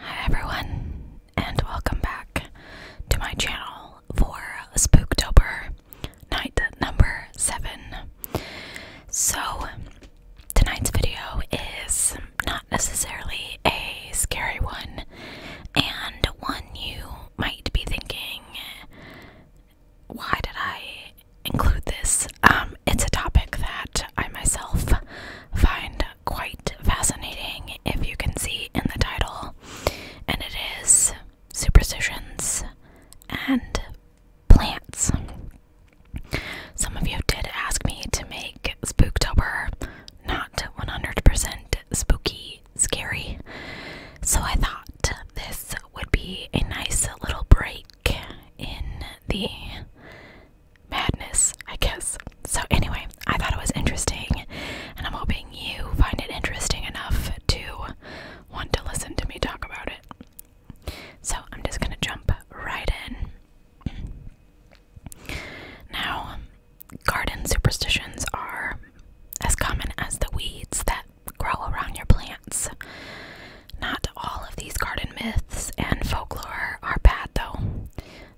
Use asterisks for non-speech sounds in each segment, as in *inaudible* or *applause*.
Hi everyone, and welcome back to my channel for Spooktober night number seven. So, tonight's video is not necessarily a scary one, and one you might be thinking, why did I include this? Um, it's a topic that I myself find quite fascinating, if you can see in the title, and it is superstitions and plants. Some of you did ask me to make Spooktober not 100% spooky, scary, so I thought this would be a nice little break in the madness, I guess. So, anyway, I thought it was interesting, and I'm hoping you find it interesting enough to want to listen to me talk about it. So I'm just gonna jump right in. Now, garden superstitions are as common as the weeds that grow around your plants. Not all of these garden myths and folklore are bad, though.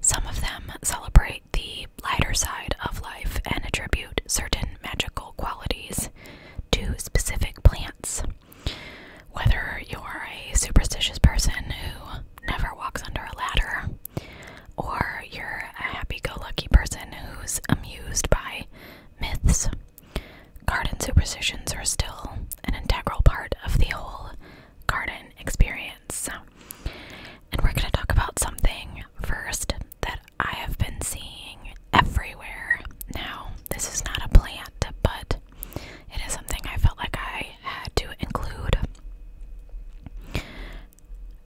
Some of them celebrate the lighter side of life and attribute certain magical qualities to specific plants. Whether you're a superstitious person who never walks under a ladder, or you're a happy go lucky person who's amused by myths, garden superstitions are still an integral part of the whole garden experience. And we're going to talk about something first that I have been seeing everywhere. Now, this is not a plant, but it is something I felt like I had to include.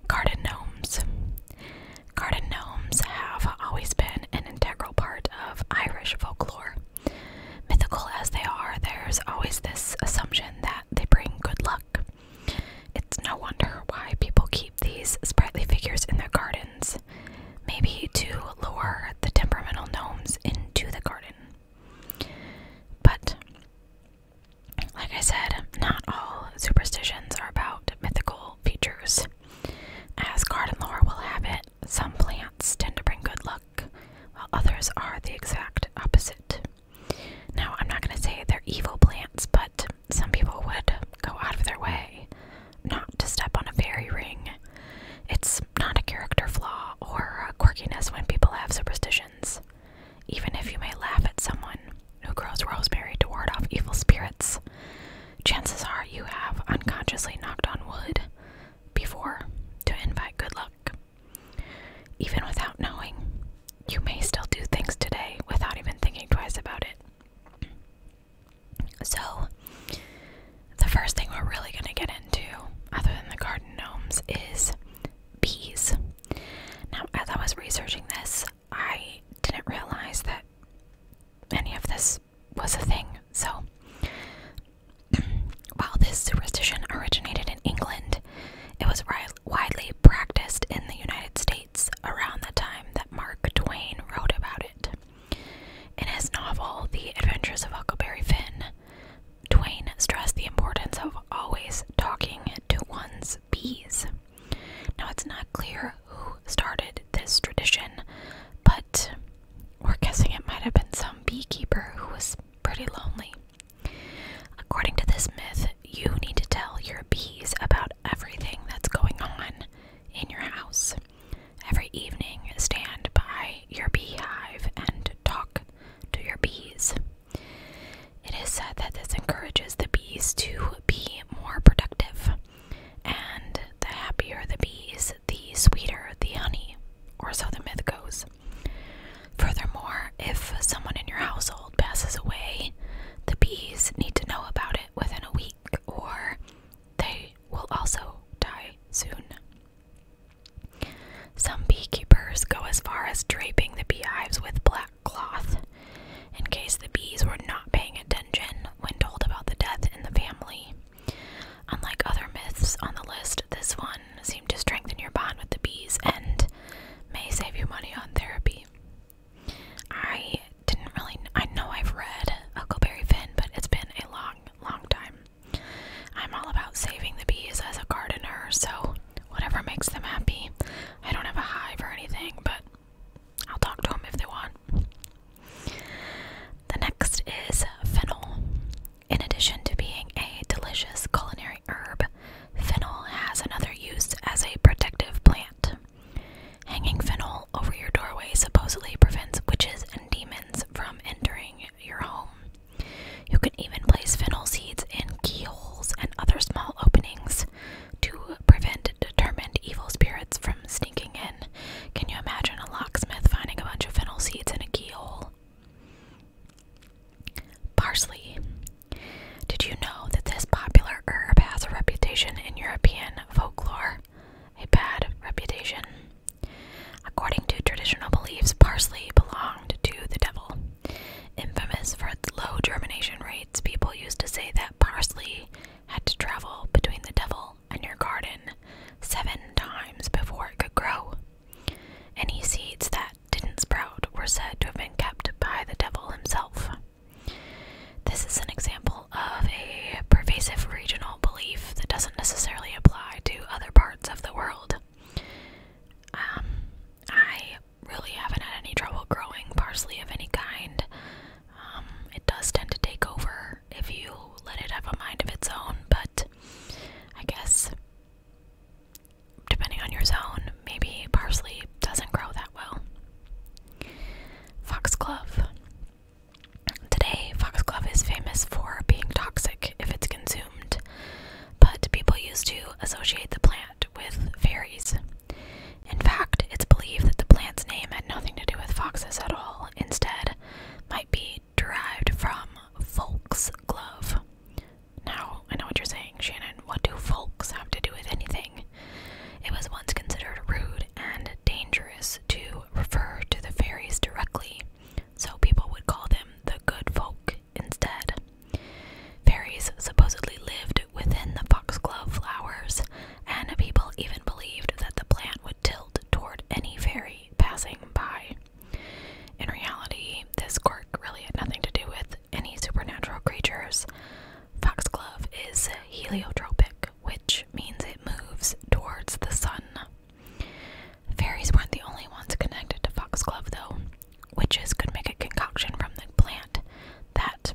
Garden gnomes. Garden gnomes have always been an integral part of Irish folklore. Mythical as they are, there's always this assumption that they bring good luck. It's no wonder why people keep these sprightly figures in their gardens maybe to lure the temperamental gnomes into the garden. But, like I said, not all superstitions are about mythical features. As garden lore will have it, some plants tend to bring good luck, while others are the exact opposite. Now, I'm not going to say they're evil plants, but some people would go out of their way not to step on a fairy ring. It's not a character flaw or a quirkiness when people have superstitions. Even if you may laugh at someone who grows rosemary to ward off evil spirits, chances are you have unconsciously knocked on wood before to invite good luck. Even without knowing, you may still do things today without even thinking twice about it. So, the first thing we're really going to get into, other than the garden gnomes, is bees. Now, as I was researching this, I didn't realize that any of this was a thing. So, *clears throat* while this superstition originated in England, it was widely practiced in the United States. It's around the time that Mark Twain wrote about it. In his novel, The Adventures of Huckleberry Finn, Twain stressed the importance of always talking to one's bees. Now, it's not clear who started this tradition, but we're guessing it might have been some beekeeper who was pretty lonely. According to this myth, you need to tell your bees about everything that's going on in your house. Every evening, stand by your beehive and talk to your bees. It is said that this encourages the bees to be more productive, and the happier the bees, the sweeter the honey, or so the myth goes. Furthermore, if someone in your household passes away, the bees need to know about it within a week or they will also die soon. Some beekeepers go as far as draping the beehives with black cloth in case the bees were not paying attention when told about the death in the family. Unlike other myths on the list, this one seemed to strengthen your bond with the bees and may save you money on therapy. I didn't really. I know I've read Huckleberry Finn, but it's been a long, long time. I'm all about saving the bees as a gardener, so whatever makes them happy. I don't have a hive or anything, but I'll talk to them if they want. The next is fennel. In addition to being a delicious culinary herb, fennel has another use as a protective plant. Hanging fennel over your doorway supposedly prevents witches and demons from entering your home. You can even place fennel seeds in keyholes and other small openings to prevent determined evil spirits from sneaking in. Can you imagine a locksmith finding a bunch of fennel seeds in a keyhole? Parsley. Did you know that this popular herb has a reputation in European folklore? A bad reputation. According to traditional beliefs, parsley belonged to the devil. Infamous for its low germination rates, people used to say that parsley had to travel between the devil and your garden seven times before it could grow. Any seeds that didn't sprout were said to have been kept by the devil himself. This is an example of a pervasive regional belief that doesn't necessarily apply to other parts of the world. Um, I really haven't had any trouble growing parsley of any kind. Um, it does tend to take over if you let it have a mind of its own, but I guess depending on your zone, maybe parsley doesn't grow that well. Foxglove. Today, foxglove is famous for being toxic if it's consumed, but people used to associate the plant with fairies. In fact, it's believed that the plant's name had nothing to do with foxes at all, instead, might be derived from folks' glove. Now, I know what you're saying, Shannon. What do folks have to do with anything? It was once considered rude and dangerous to refer to the fairies directly, so people would call them the good folk instead. Fairies supposedly lived within the foxglove flowers, and people even believed that the plant would tilt toward any fairy passing by. In reality, this quirk really had nothing to do with any supernatural creatures, Foxglove is heliotropic, which means it moves towards the sun. Fairies weren't the only ones connected to Foxglove, though. Witches could make a concoction from the plant that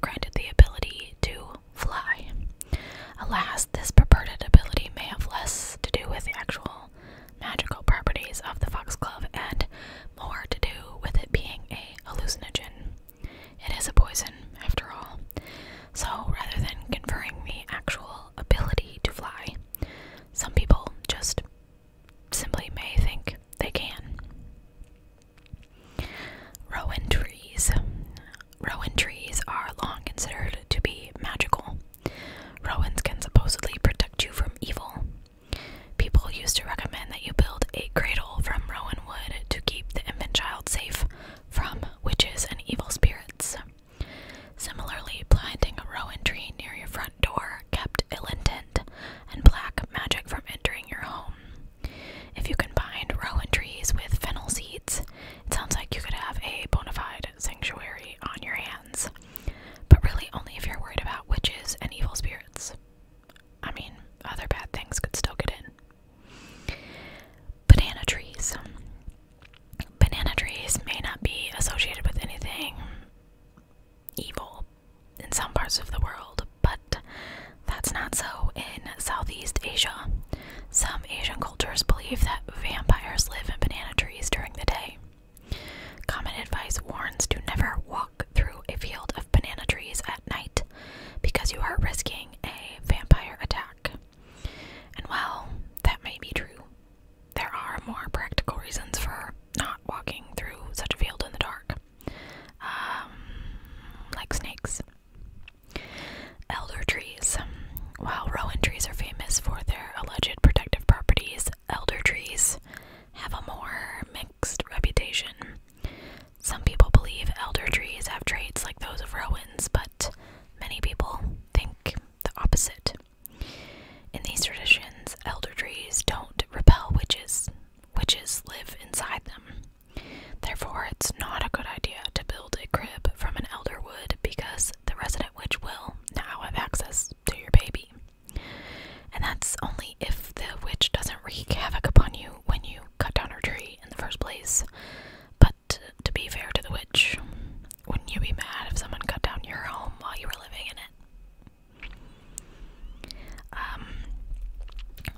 granted the ability to fly. Alas, this purported ability may have less to do with the actual magical properties of the foxglove and more to do with it being a hallucinogen. It is a poison, after all. So, rather than conferring the actual ability to fly, some people just simply may think they can. Rowan trees. Rowan trees are long considered to be magical. Rowans can supposedly protect you from evil. People used to recommend that you build a cradle from rowan wood to keep the infant child safe from witches and evil spirits. Similarly, planting a rowan tree near your front door kept ill intent and black magic from entering your home. If you combine rowan trees with fennel seeds, it sounds like you could have a bona fide sanctuary on your hands. But really, only if you're worried about witches and evil spirits. I mean, other bad things could still get in. Banana trees. Banana trees may not be associated with anything evil in some parts of the world, but that's not so in Southeast Asia. Some Asian cultures believe that vampires live in banana trees during the day. Common advice warns to never walk through a field of banana trees at night because you are risking a vampire attack. And while that may be true, there are more practical reasons for not walking through such a field in the dark, um, like snakes. Elder trees. While rowan trees are famous for their alleged protective properties, elder trees have a more mixed reputation. Some people believe elder trees have traits like those of Rowans, but many people think the opposite. In these traditions, elder trees don't repel witches. Witches live inside them. Therefore, it's not a good idea to build a crib from an elder wood because the resident witch will now have access to your baby. And that's only if the witch doesn't wreak havoc upon you when you cut down her tree in the first place. But to be fair to the witch, wouldn't you be mad if someone cut down your home while you were living in it? Um,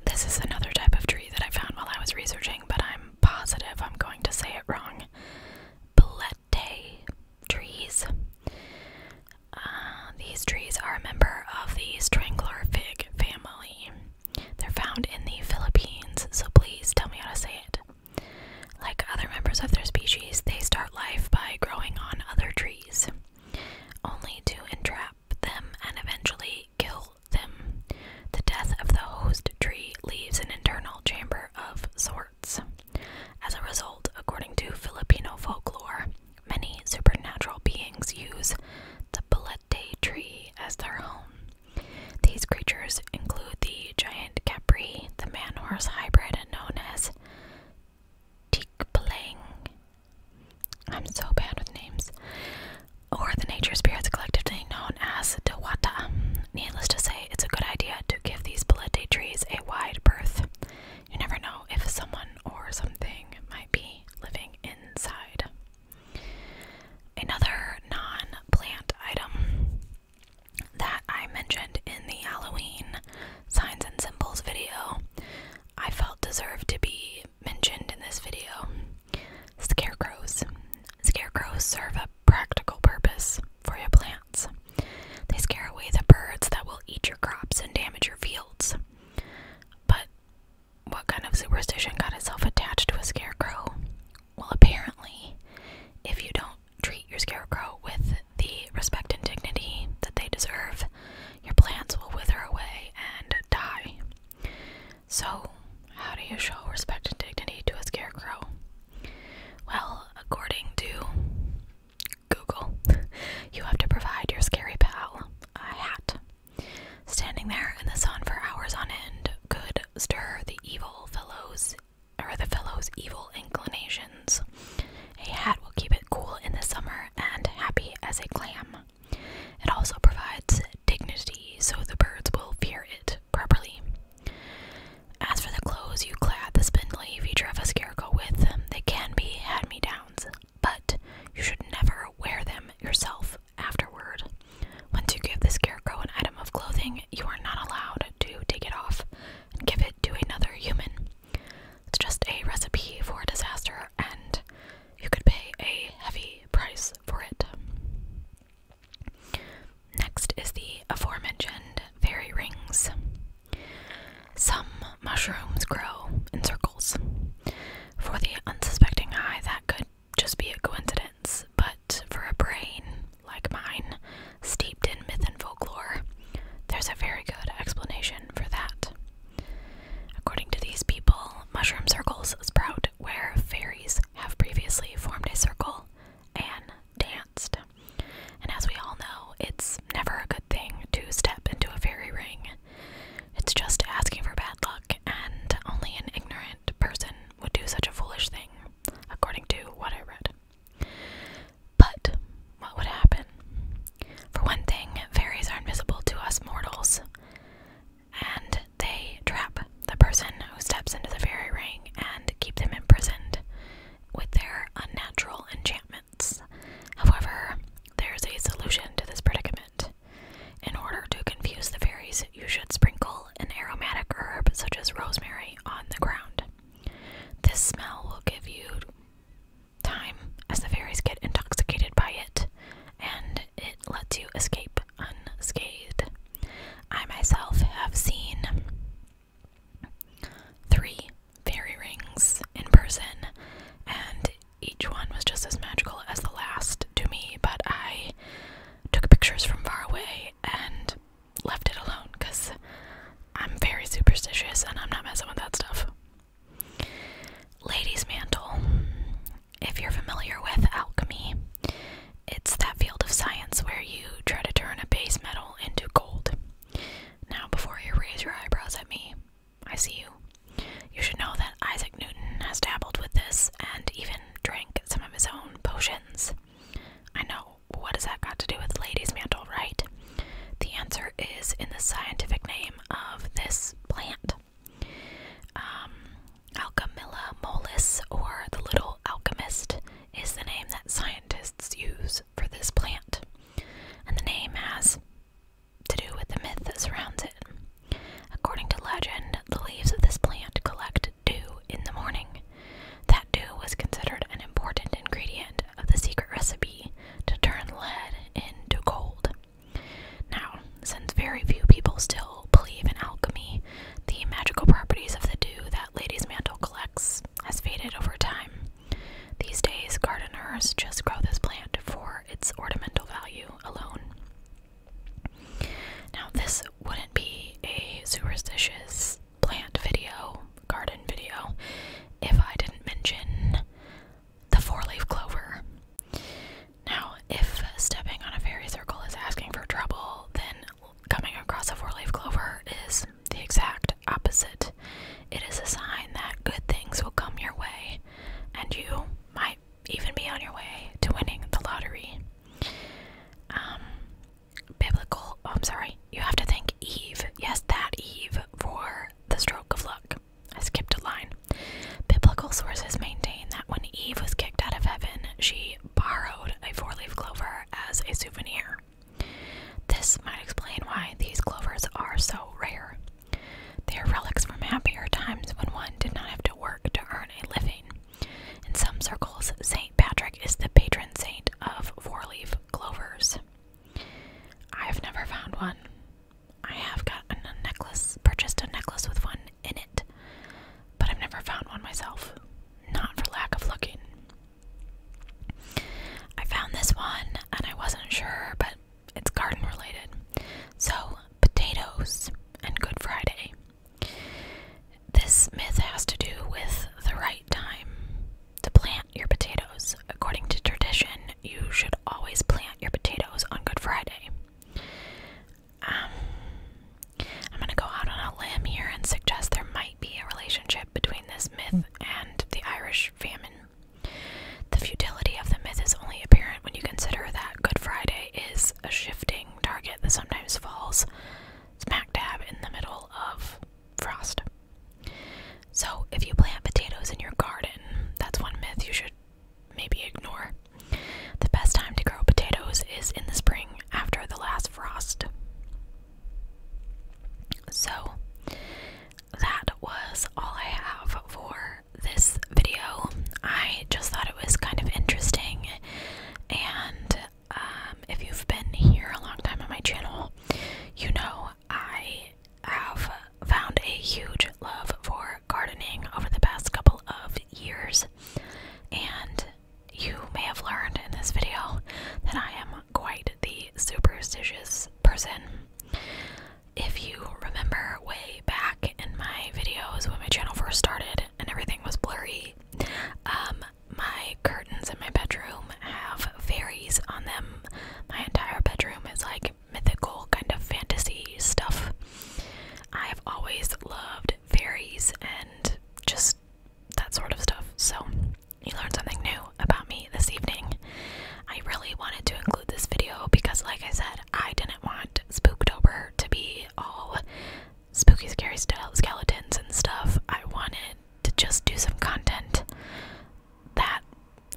this is another type of tree that I found while I was researching, but I'm positive I'm going to say it wrong. Belette trees. Uh, these trees are a member of the strangler fig family. They're found in the Philippines, so please tell me how to say it. Like other members of their species, they start life by growing on other trees, only to entrap them and eventually kill them. The death of the host tree leaves an internal chamber of sorts. As a result, according to Filipino folklore, Many supernatural beings use the Belete tree as their home. These creatures include the giant capri, the man horse hybrid known as Tikpalang. I'm so bad with names. Or the nature spirits collectively known as Dewata. Needless to say, it's a good idea to give these Belete trees a wide berth. You never know if someone or something might be living inside. Another non plant item that I mentioned in the Halloween signs and symbols video, I felt deserved to be mentioned in this video. Scarecrows. Scarecrows serve a practical purpose for your plants. They scare away the birds that will eat your crops and damage your fields. But what kind of superstition got itself attached to a scarecrow? Well, apparently, if you don't treat your scarecrow with the respect and dignity that they deserve, your plants will wither away and die. So, how do you show respect and dignity to a scarecrow? Well, according to Google. You have to provide your scary pal a hat. Standing there in the sun for hours on end could stir the evil fellows or the fellow's evil inclinations. A hat will keep it cool in the summer and happy as a clam. It also provides dignity so the birds will fear it properly. As for the clothes you clad the spindly feature of a scarecrow with, they can be hand me downs, but you should never wear them yourself afterward. Once you give the scarecrow an item of clothing, you are not allowed to take it off and give it to another human. It's just a recipe for disaster, and you could pay a heavy price for it. Next is the aforementioned fairy rings. Some mushrooms grow in circles. For the unsuspecting eye, that could just be a coincidence, but for a brain like mine, steeped in myth and folklore, there's a very good explanation for that. According to these people, mushroom circles sprout where fairies have previously formed a circle and danced. And as we all know, it's never a good thing to step into a fairy ring. It's just asking for bad luck, and only an ignorant person would do such a foolish thing, according to what I read. But what would happen? For one thing, fairies are invisible to us mortals, and they trap the person who steps into the fairy ring and keep them imprisoned with their unnatural enchantment. However, there is a solution to this predicament. In order to confuse the fairies, you should sprinkle an aromatic herb such as rosemary on the ground. This smell will give you time as the fairies get intoxicated by it, and it lets you escape unscathed. I myself have seen three fairy rings in person, and each one was just as magical as the last to me. But I took pictures from far away and left it alone because I'm very superstitious and I'm not messing with that stuff. Lady's mantle. If you're familiar with alchemy, it's that field of science where you try to turn a base metal into gold. Now, before you raise your eyebrows at me, I see you. You should know that Isaac Newton has dabbled with this and even drank some of his own potions. I know. What has that got to do with Lady's Mantle, right? The answer is in the scientific name of this plant. Um, Alchemilla mollis, or the little alchemist, is the name that scientists use for this plant. And the name has to do with the myth that surrounds it. According to legend, the leaves of this plant collect dew in the morning. That dew was considered an important ingredient of the secret recipe to turn lead into gold. Now, since very few people still believe in alchemy, the magical properties of the dew that Lady's Mantle collects has faded over time. These days, gardeners just grow this plant for its ornamental value alone. Now, this wouldn't be a superstitious plant video, garden video, if I didn't mention the four leaf clover. Now, if stepping on a fairy circle is asking for trouble, then coming across a four leaf clover is the exact opposite. It is a sign that good things will come your way, and you might even be on your way to winning the lottery. Um, biblical. Oh, I'm sorry. You have to thank Eve. Yes, that Eve for the stroke of luck. I skipped a line. Biblical sources maintain that when Eve was kicked out of heaven, she borrowed a four leaf clover as a souvenir. This might explain why these clovers are so rare. They are relics from happier times when one did not have to work to earn a living. In some circles, St. Patrick is the patron saint of four leaf clovers. I have never found one. I have got a necklace, purchased a necklace with one in it, but I've never found one myself. Not for lack of looking. I found this one and I wasn't sure, but it's garden related. So, potatoes and Good Friday. This myth has to do with the right time to plant your potatoes. According to tradition, you should always plant your potatoes on Good Friday. Um, I'm going to go out on a limb here and suggest there might be a relationship between this myth and the Irish famine. The futility of the myth is only apparent when you consider that Good Friday is a shifting target that sometimes falls smack dab in the middle of frost. So, if you plant potatoes in your garden, that's one myth you should maybe ignore. The best time to grow potatoes is in the spring after the last frost. So, that was all I have for this video. I just thought it was kind of interesting, and um, if you've been here a long time on my channel, you know I have found a huge love for gardening over the past couple of years, and you may have learned in this video that I am quite the superstitious person. If you remember way back in my videos when my channel first started and everything was blurry, um, my curtains in my bedroom have fairies on them. My entire bedroom is like mythical kind of fantasy stuff. I've always loved fairies and just that sort of stuff. So you learned something new about me this evening. I really wanted to include this video because, like I said, I didn't want Spooktober to be all spooky, scary style skeletons and stuff. I wanted to just do some content that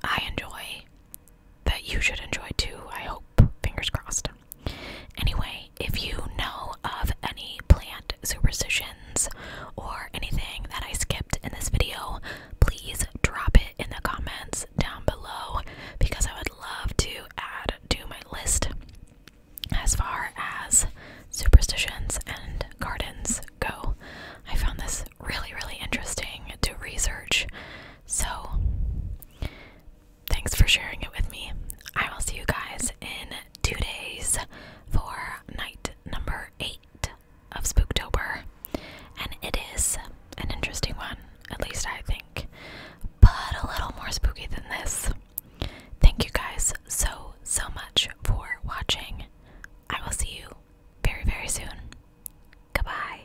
I enjoy, that you should enjoy too, I hope. Fingers crossed. Anyway, if you know of any plant superstitions or anything that I skipped in this video, please drop it in the comments down below because I would love to add to my list as far as superstitions and gardens go. I found this really, really interesting to research. So, thanks for sharing it with me. I will see you guys in two days for night number eight of Spooktober, and it is an interesting one, at least I think, but a little more spooky than this. Thank you guys so, so much for watching. I will see you very, very soon. Goodbye.